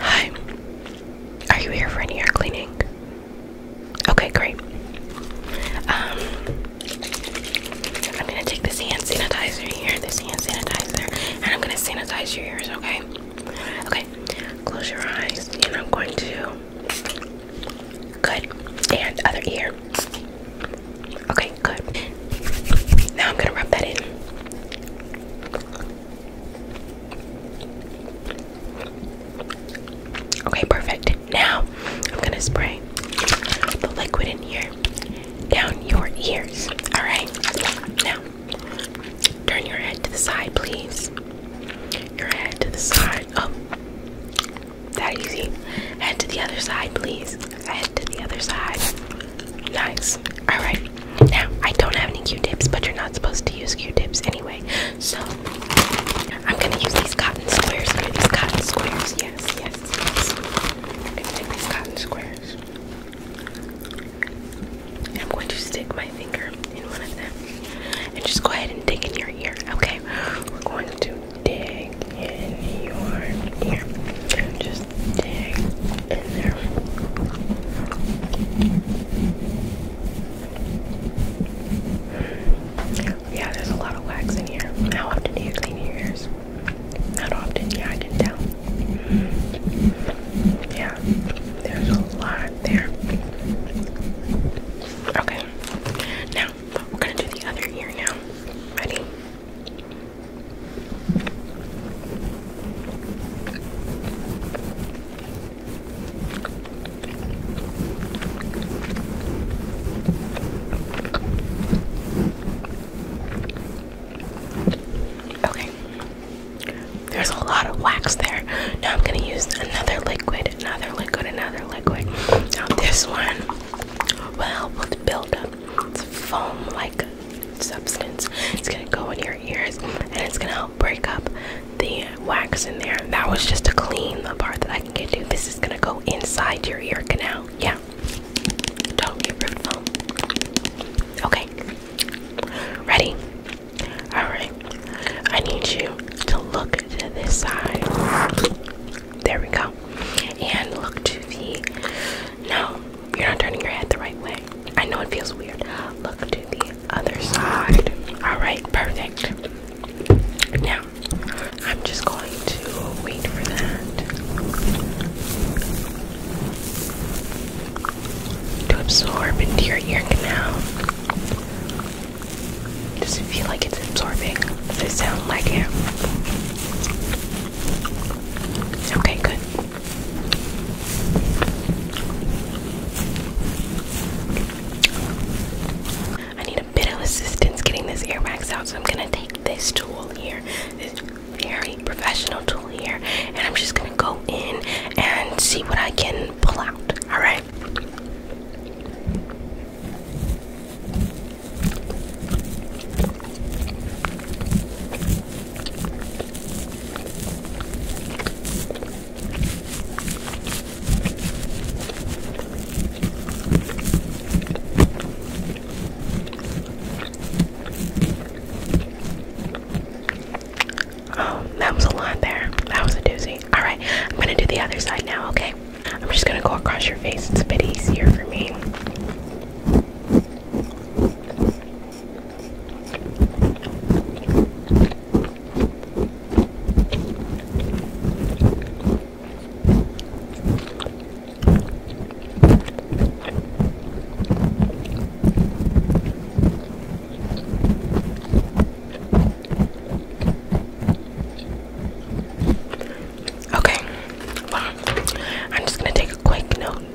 Hi. Are you here for any air cleaning? Okay, great. Um, I'm gonna take this hand sanitizer here, this hand sanitizer, and I'm gonna sanitize your ears, okay? Okay, close your eyes, and I'm going to. Good. And other ear. Okay, good. Now I'm gonna rub that in. Okay, perfect. Now I'm gonna spray the liquid in here down your ears. Alright, now turn your head to the side, please. Your head to the side. Oh, that easy. Head to the other side, please. Head to the other side. Nice. Alright. Now, I don't have any Q-tips, but you're not supposed to use Q-tips anyway. So, I'm going to use these cotton squares here. These cotton squares. Yes, yes, yes. I'm going to take these cotton squares. And I'm going to stick my finger in one of them. And just go ahead and dig in your ear, okay? We're going to dig in your ear. Just dig yeah, there's a lot of wax in here. How often do you clean your ears? Not often, yeah, I can tell. Yeah, there's a lot there. Okay, now we're gonna do the other ear now. Ready? Okay. There's a lot of wax there. Now I'm gonna use another liquid, another liquid, another liquid. Now this one will help with buildup. foam like substance. It's gonna go in your ears and it's gonna help break up the wax in there. That was just to clean the part that I can get to. This is gonna go inside your ear canal. Yeah. Totally root foam. Okay. Ready? Alright. I need you to look to this side. There we go. And look to the no, you're not turning your head the right way. I know it feels weird. Look to the other side. Alright, perfect. Now, I'm just going to wait for that to absorb into your ear canal. Does it feel like it's absorbing? Does it sound like it? Okay, good. I need a bit of assistance getting this ear wax out, so I'm gonna take this tool here, this very professional tool here, and I'm just gonna go in and see what I can pull out. All right. Oh, that was a lot there. That was a doozy. Alright, I'm gonna do the other side now, okay? I'm just gonna go across your face. It's a bit easier for me. Okay, I'm just gonna take a quick note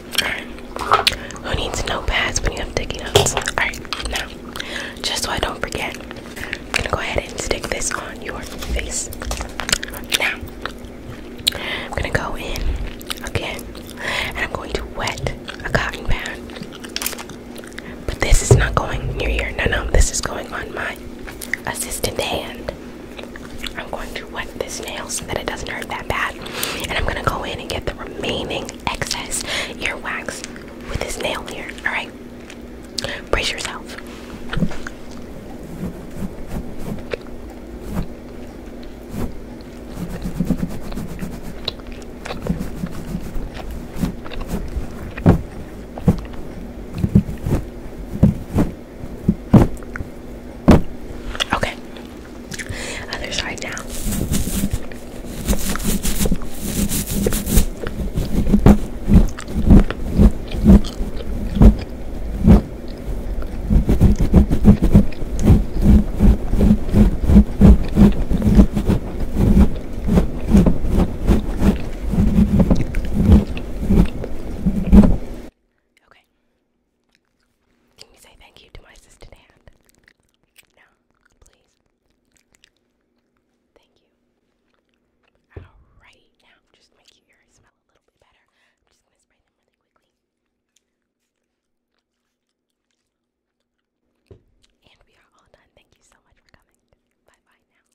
Who needs notepads when you have sticky notes? Alright, now, just so I don't forget, I'm gonna go ahead and stick this on your face. Now, I'm gonna go in again and I'm going to wet a cotton pad. But this is not going near here. No, no, this is going on my assistant hand. I'm going to wet this nail so that it doesn't hurt that bad. And I'm gonna go in and get the remaining excess earwax with this nail here. Alright? Brace yourself. Okay, other side now. Okay. Can you say thank you to my assistant hand? No, please. Thank you. Alright, now just make your ears smell a little bit better. I'm just gonna spray them really quickly. And we are all done. Thank you so much for coming. Bye bye now.